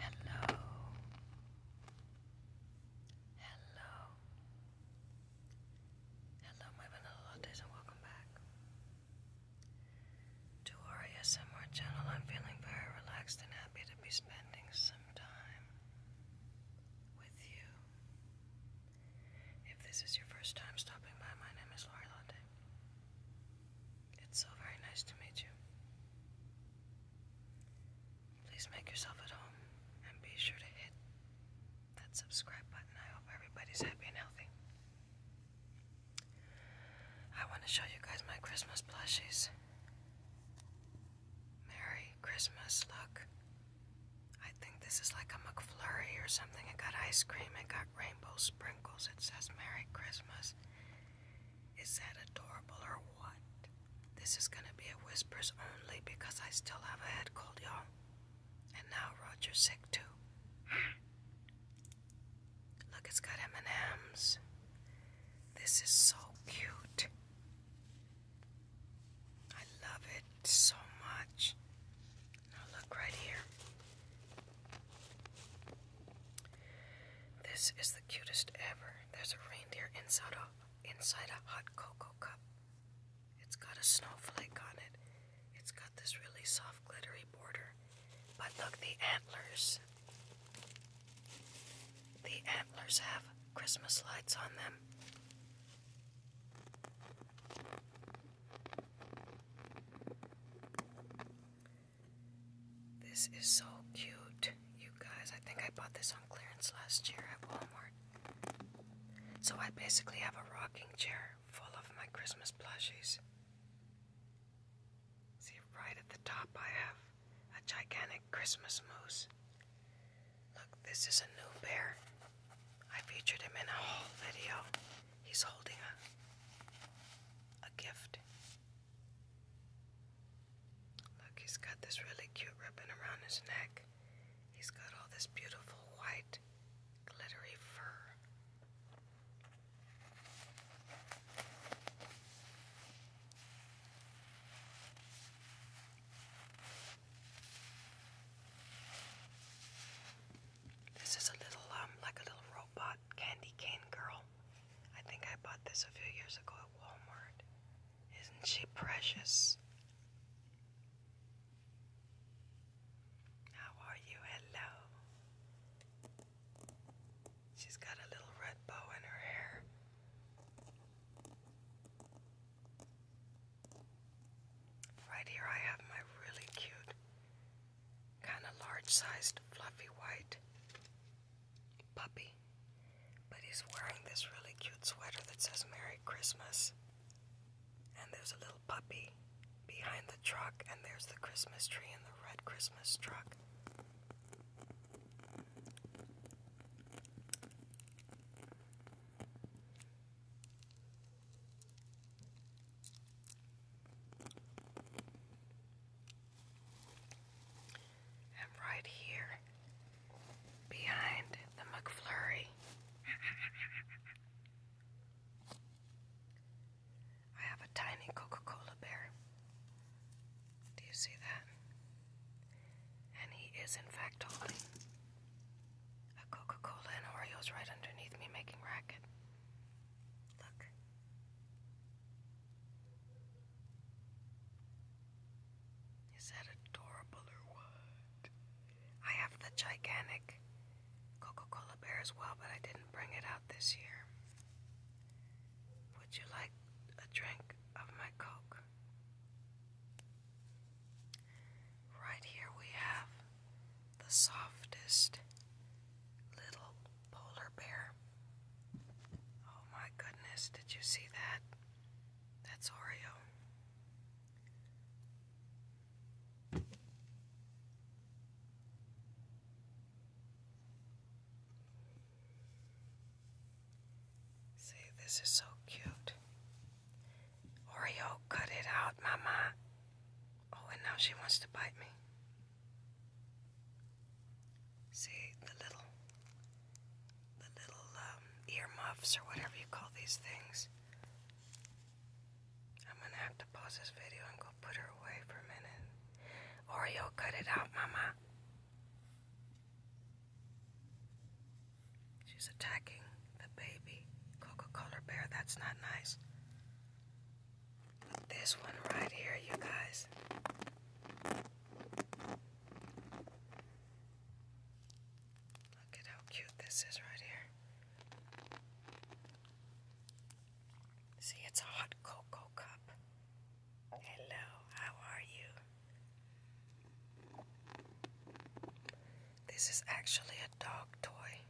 Hello. Hello. Hello, my vanilla lattes, and welcome back to our ASMR channel. I'm feeling very relaxed and happy to be spending some time with you. If this is your first time stopping by, my name is Lori Latte. It's so very nice to meet you. Please make yourself at home and be sure to hit that subscribe button. I hope everybody's happy and healthy. I want to show you guys my Christmas plushies. Merry Christmas, look. I think this is like a McFlurry or something. It got ice cream, it got rainbow sprinkles. It says Merry Christmas. Is that adorable or what? This is gonna be a whispers only because I still have a head cold, y'all. And now Roger's sick too. Look, it's got M&Ms. This is so cute. I love it so much. Now look right here. This is the cutest ever. There's a reindeer inside a inside a hot cocoa cup. It's got a snowflake on it. It's got this really soft glittery border. But look, the antlers. The antlers have Christmas lights on them. This is so cute, you guys. I think I bought this on clearance last year at Walmart. So I basically have a rocking chair full of my Christmas plushies. See, right at the top, I have a gigantic Christmas moose. Look, this is a new bear. I featured him in a whole video. He's holding a, a gift. Look, he's got this really cute ribbon around his neck. He's got all this beautiful white, glittery fur. This is a little, um, like a little robot candy cane girl. I think I bought this a few years ago at Walmart. Isn't she precious? How are you? Hello. She's got a little red bow in her hair. Right here, I have my really cute, kind of large sized, fluffy white puppy, but he's wearing this really cute sweater that says Merry Christmas. And there's a little puppy behind the truck, and there's the Christmas tree and the red Christmas truck. And right here, behind the McFlurry, I have a tiny Coca Cola bear. Do you see that? And he is, in fact, holding a Coca Cola and Oreos right underneath me, making racket. Look. Is that adorable or what? I have the gigantic Coca Cola bear as well, but I didn't bring it out this year. Would you like a drink of my Coke? Right here we have the softest little polar bear. Oh my goodness, did you see that? That's Oreo. See, this is so cute. Oreo, cut it out, Mama. Oh, and now she wants to bite me. See the little the little um, earmuffs or whatever you call these things. I'm gonna have to pause this video and go put her away for a minute. Oreo, cut it out, Mama. She's attacking the baby Coca-Cola bear. That's not nice. This one right here, you guys. Look at how cute this is right here. See, it's a hot cocoa cup. Hello, how are you? This is actually a dog toy.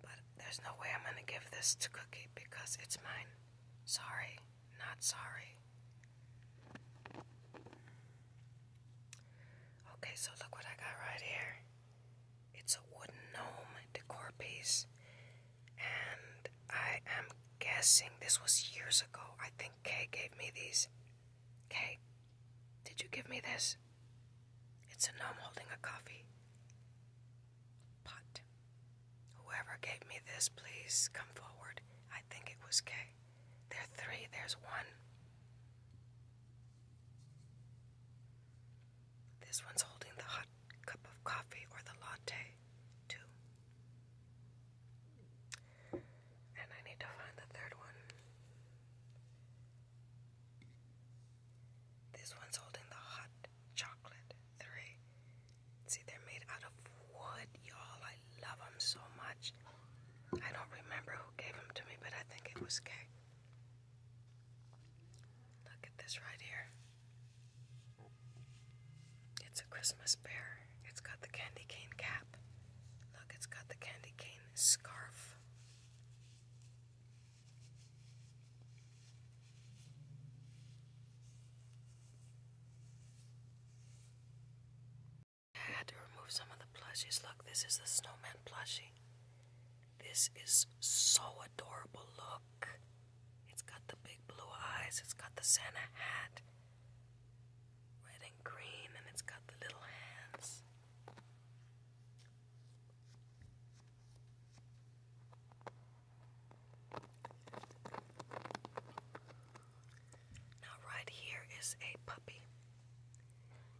But there's no way I'm gonna give this to Cookie because it's mine. Sorry not sorry. Okay, so look what I got right here. It's a wooden gnome decor piece. And I am guessing this was years ago. I think Kay gave me these. Kay, did you give me this? It's a gnome holding a coffee. Pot. Whoever gave me this, please come forward. I think it was Kay. There's three, there's one. This one's holding the hot cup of coffee or the latte, too. And I need to find the third one. This one's holding the hot chocolate, three. See, they're made out of wood, y'all. I love them so much. I don't remember who gave them to me, but I think it was Kay. Look at this right here. It's a Christmas bear. It's got the candy cane cap. Look, it's got the candy cane scarf. I had to remove some of the plushies. Look, this is the snowman plushie. This is so adorable. Look. It's got the big blue eyes, it's got the Santa hat, red and green, and it's got the little hands. Now, right here is a puppy,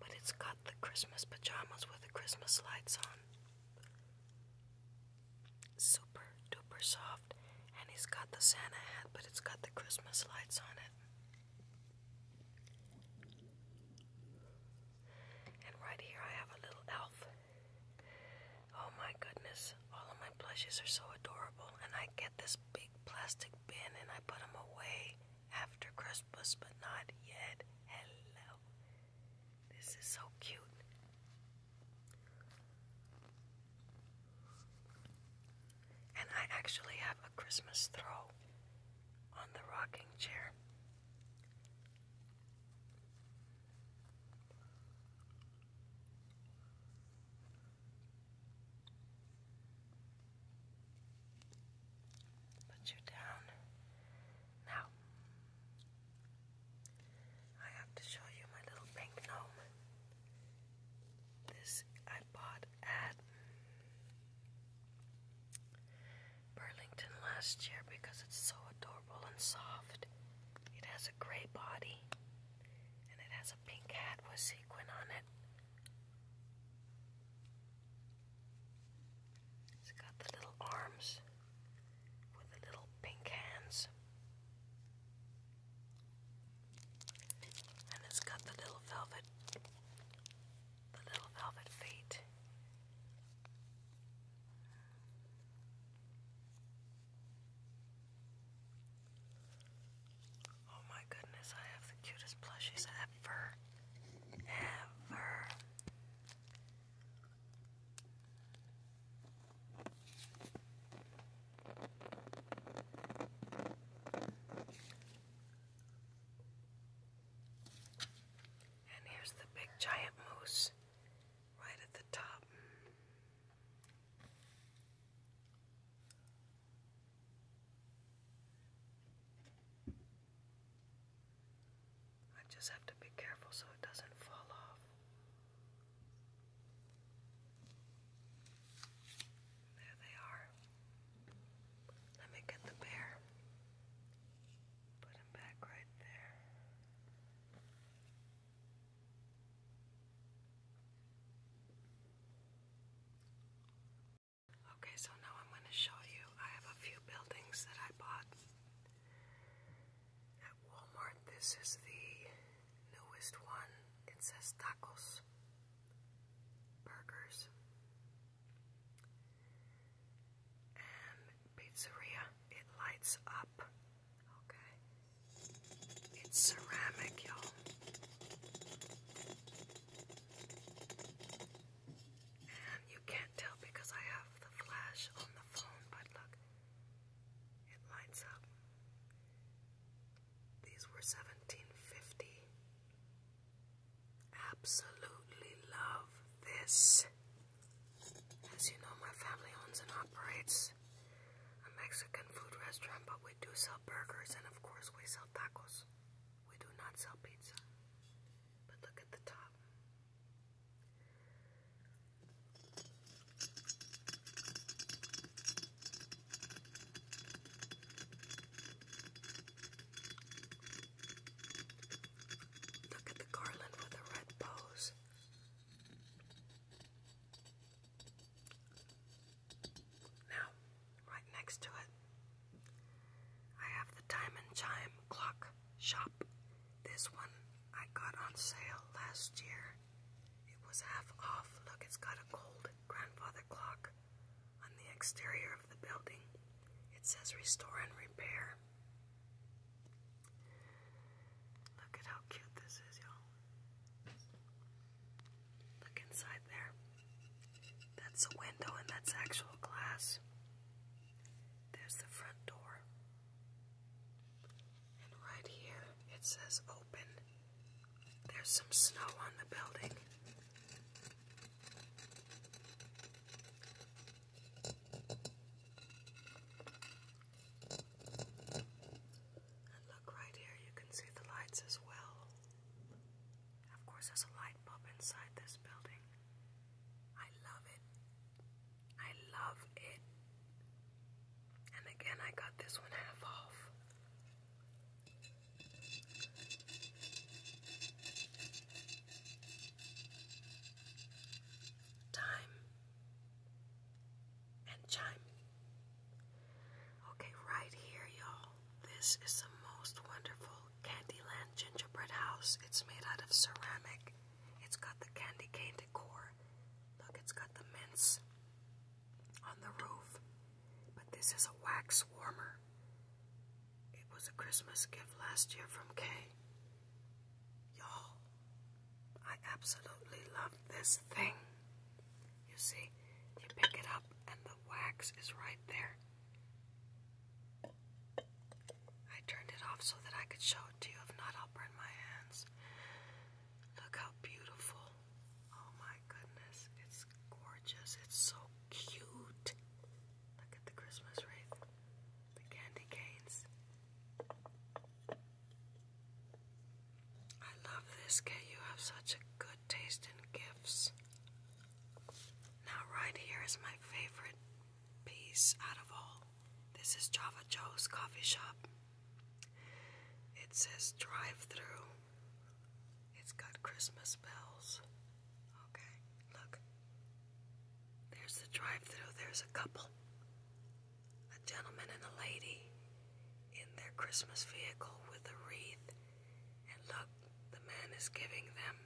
but it's got the Christmas pajamas with the Christmas lights on. Super duper soft, and he's got the Santa hat, but it's got the Christmas lights on it. And right here, I have a little elf. Oh my goodness, all of my plushies are so adorable, and I get this big plastic bin and I put them away after Christmas, but not yet. Hello. This is so cute. And I actually have a Christmas throw on the rocking chair. Put you down. Now, I have to show you my little pink gnome. This I bought at Burlington last year because it's so adorable and soft. It has a gray body and it has a pink hat with sequin on it. It's got the little arms with the little pink hands. And it's got the little velvet the little velvet feet. Oh my goodness, I have the cutest plushies ever. Ever. And here's the big giant moose right at the top. I just have to be careful so it doesn't fall off. There they are. Let me get the bear. Put him back right there. Okay, so now I'm going to show you. I have a few buildings that I bought at Walmart. This is the newest one. It says tacos, burgers, and pizzeria. It lights up Okay. It's ceramic, y'all. And you can't tell because I have the flash on the phone, but look, it lights up. These were 1750. Absolutely love this. As you know, my family owns and operates a Mexican food restaurant, but we do sell burgers and, of course, we sell tacos. We do not sell pizza. But look at the top. Look at the garland with the red bows. Now, right next to it, I have the Diamond Chime Clock Shop. This one I got on sale last year. It was half off. Look, it's got a gold grandfather clock on the exterior of the building. It says restore and repair. Look at how cute this is, y'all. Look inside there. That's a window and that's actual glass. There's the front door. And right here it says open. There's some snow on the building look right here, you can see the lights as well. Of course, there's a light bulb inside this building. I love it. I love it. And again, I got this one half off. Time and chime. Okay, right here, y'all. This is the most wonderful Candyland gingerbread house. It's made out of ceramic. It's got the candy cane decor. Look, it's got the mints on the roof. But this is a wax warmer. It was a Christmas gift last year from Kay. Y'all, I absolutely love this thing. You see, you pick it up and the wax is right there. I turned it off so that I could show it to you. If not, I'll burn my hands. Look how beautiful. Oh my goodness, it's gorgeous. It's so cute. Look at the Christmas wreath, the candy canes. I love this, Kay. You have such a good taste in gifts. Now, right here is my favorite piece out of all. This is Java Joe's coffee shop. It says drive through. It's got Christmas bells. Okay, look. There's the drive through, there's a couple a gentleman and a lady in their Christmas vehicle with a wreath, and look, the man is giving them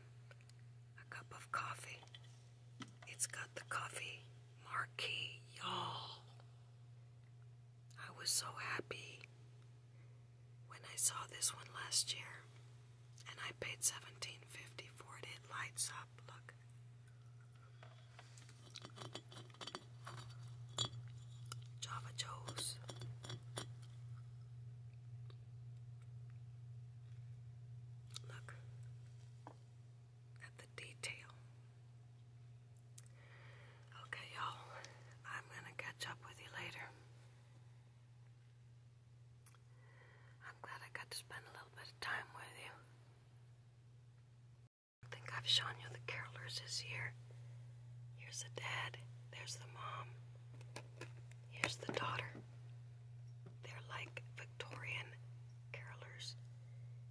a cup of coffee. It's got the coffee marquee, y'all. I was so happy when I saw this one last year, and I paid seventeen fifty for it. It lights up. Look, Java Joe's. Look at the detail. Okay, y'all, I'm gonna catch up with you later. I'm glad I got to spend a little bit of time with you. I think I've shown you the carolers this year. Here's the dad. There's the mom. Here's the daughter. They're like Victorian carolers.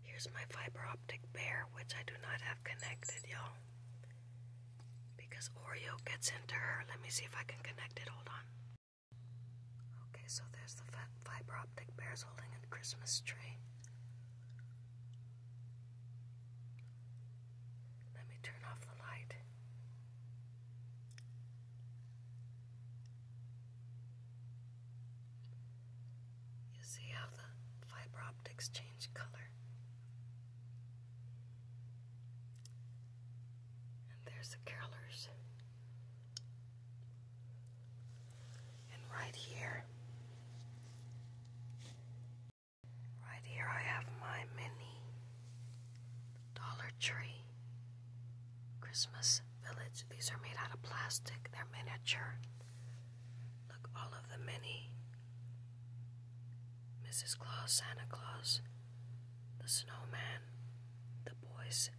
Here's my fiber optic bear, which I do not have connected, y'all. Because Oreo gets into her. Let me see if I can connect it. Hold on. Okay, so there's the fiber optic bears holding a Christmas tree. Let me turn off the light. You see how the fiber optics change color? And there's the colors and right here, right here, I have my mini Dollar Tree Christmas Village. These are made out of plastic, they're miniature. Look, all of the mini Mrs. Claus, Santa Claus, the snowman, the boys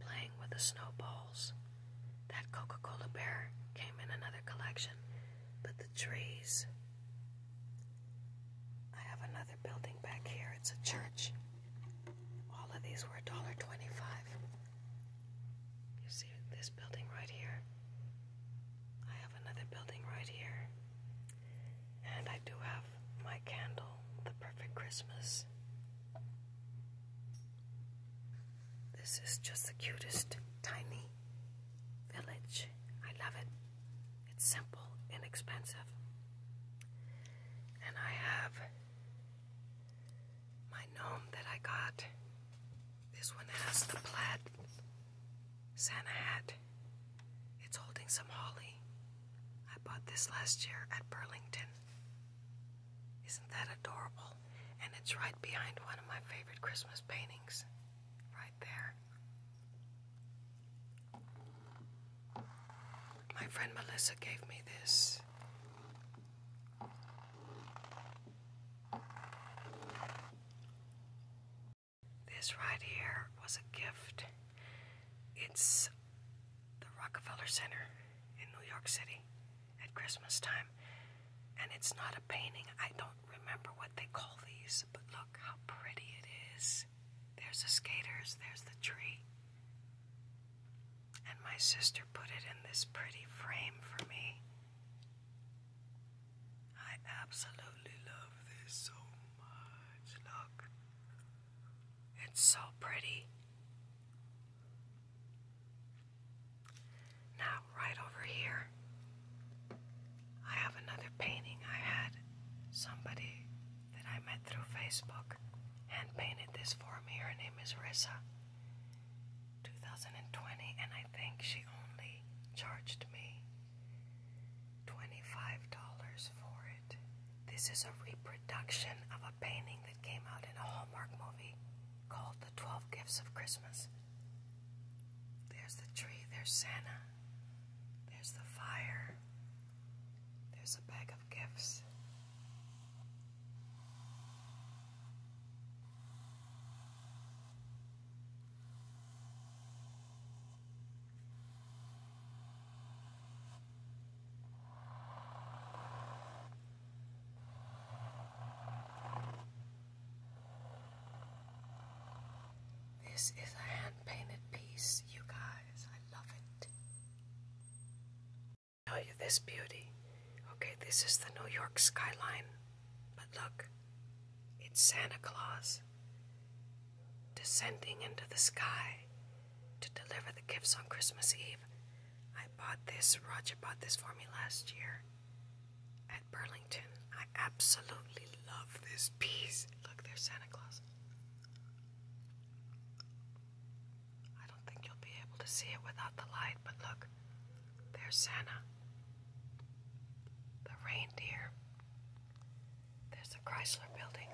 playing with the snowballs. That Coca Cola bear came in another collection, but the trees. I have another building back here. It's a church. All of these were $1.25. You see this building right here? I have another building right here. And I do have my candle, The Perfect Christmas. This is just the cutest tiny village. I love it. It's simple, inexpensive. And I have my gnome that I got. This one has the plaid Santa hat. It's holding some holly. I bought this last year at Burlington. Isn't that adorable? And it's right behind one of my favorite Christmas paintings. Right there. My friend Melissa gave me this. This right here was a gift. It's the Rockefeller Center in New York City at Christmas time. And it's not a painting. I don't remember what they call these, but look how pretty it is. There's the skaters, there's the tree. And my sister put it in this pretty frame for me. I absolutely love this so much. Look, it's so pretty. Now, right over here, I have another painting I had somebody that I met through Facebook hand painted this for me. Her name is Rissa. 2020, and I think she only charged me $25 for it. This is a reproduction of painting that came out in a Hallmark movie called The Twelve Gifts of Christmas. There's the tree, there's Santa, there's the fire, there's a bag of gifts. This is a hand painted piece, you guys. I love it. Tell you this beauty. Okay, this is the New York skyline. But look, it's Santa Claus descending into the sky to deliver the gifts on Christmas Eve. I bought this, Roger bought this for me last year at Burlington. I absolutely love this piece. Look, there's Santa Claus. I don't think you'll be able to see it without the light, but look, there's Santa. The reindeer. There's the Chrysler building.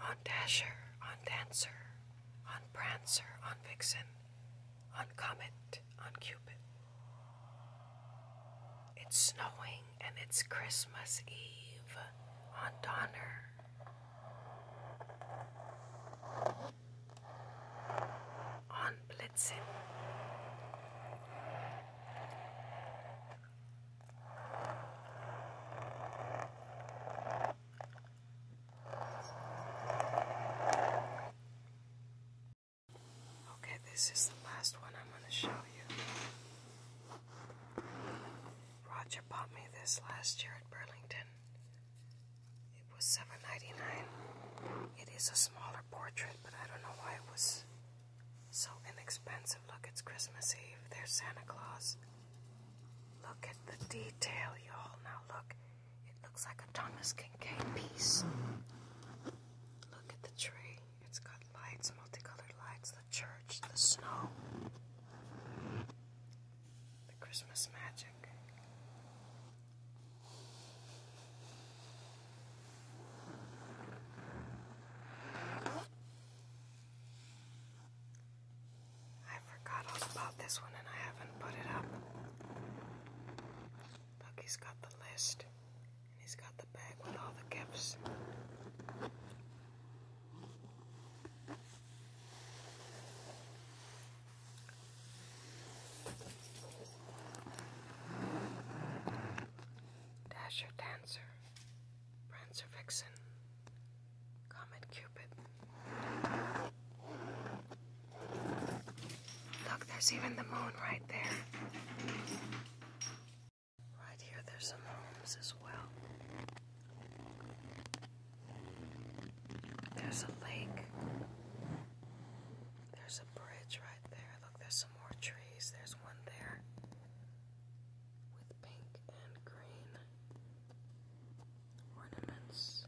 On Dasher, on Dancer, on Prancer, on Vixen, on Comet, on Cupid. It's snowing and it's Christmas Eve on Donner on Blitzen. Okay, this is the last one I'm going to show you. Roger bought me this last year at Burlington. It was seven ninety nine. It is a smaller portrait, but I don't know why it was so inexpensive. Look, it's Christmas Eve. There's Santa Claus. Look at the detail, y'all. Now look, it looks like a Thomas Kincaid piece. Look at the tree. It's got lights, multicolored lights, the church, the snow the Christmas magic. I forgot all about this one and I haven't put it up. Bucky's got the list and he's got the bag with all the gifts. Dasher Dancer, Prancer Vixen, Comet Cupid. Look, there's even the moon right there. Right here, there's some homes as well. There's a lake. There's a bridge right there. Look, there's some more trees. There's one there with pink and green ornaments.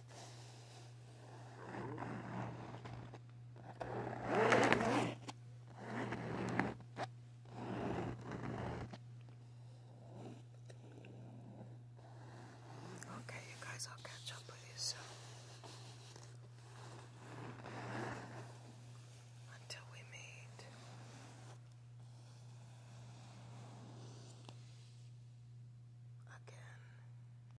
Okay, you guys, I'll catch up with you soon. Until we meet. Again.